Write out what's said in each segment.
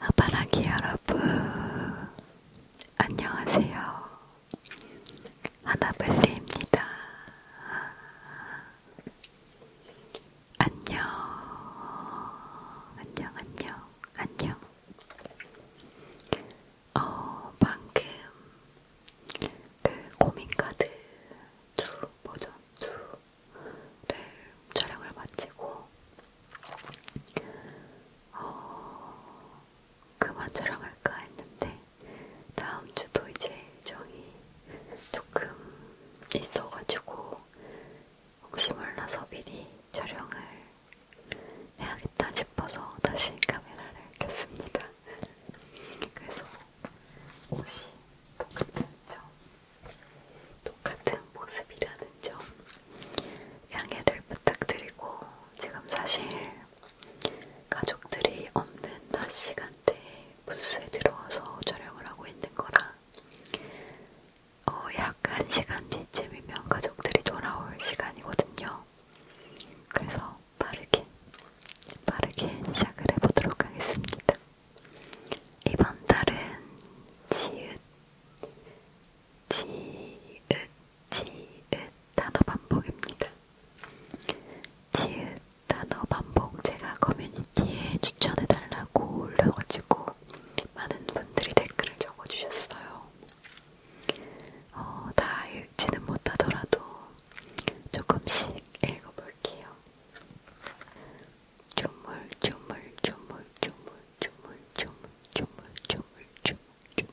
아바라기 여러분 안녕하세요 하나벨리입니다. 안녕, 안녕, 안녕, 안녕. 어, 방금 그 고민카드 2 버전 2를 촬영을 마치고, 어, 그만 촬영할까 했는데, 다음 주도 이제 일정이 조금 있어가지고 혹시 몰라서 미리 촬영을 해야겠다 싶어서 다시 카메라를 켰습니다. 그래서 옷이 똑같은 점, 똑같은 모습이라는 점 양해를 부탁드리고 지금 사실 가족들이 없는 낮 시간대에 부스에 들어와서 촬영을 하고 있는 거라 어, 약 1시간 뒤쯤이면 가족들이 돌아올 시간이거든요. 그래서 빠르게, 빠르게 시작을 해보도록 하겠습니다. 이번 달은 지읒, 지읒, 지읒 단어 반복입니다. 지읒, 단어 반복 제가 커뮤니티에 추천해달라고 올려가지고 많은 분들이 댓글을 적어주셨어요. 어, 다 읽지는 못하더라도 조금씩 읽어볼게요. 주물 주물 주물 주물 주물 주물 주물 주물 주물 주물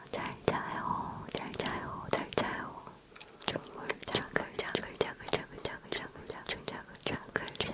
잘 자요. 잘 자요. 잘 자요. 정글 정글 정글 정글 정글 정글 정글 정글 정글 정글 정글 정글 정글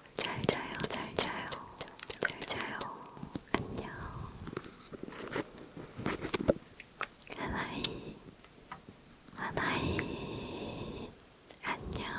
잘 자요, 잘 자요, 잘 자요. 안녕. 하나이, 하나이, 안녕.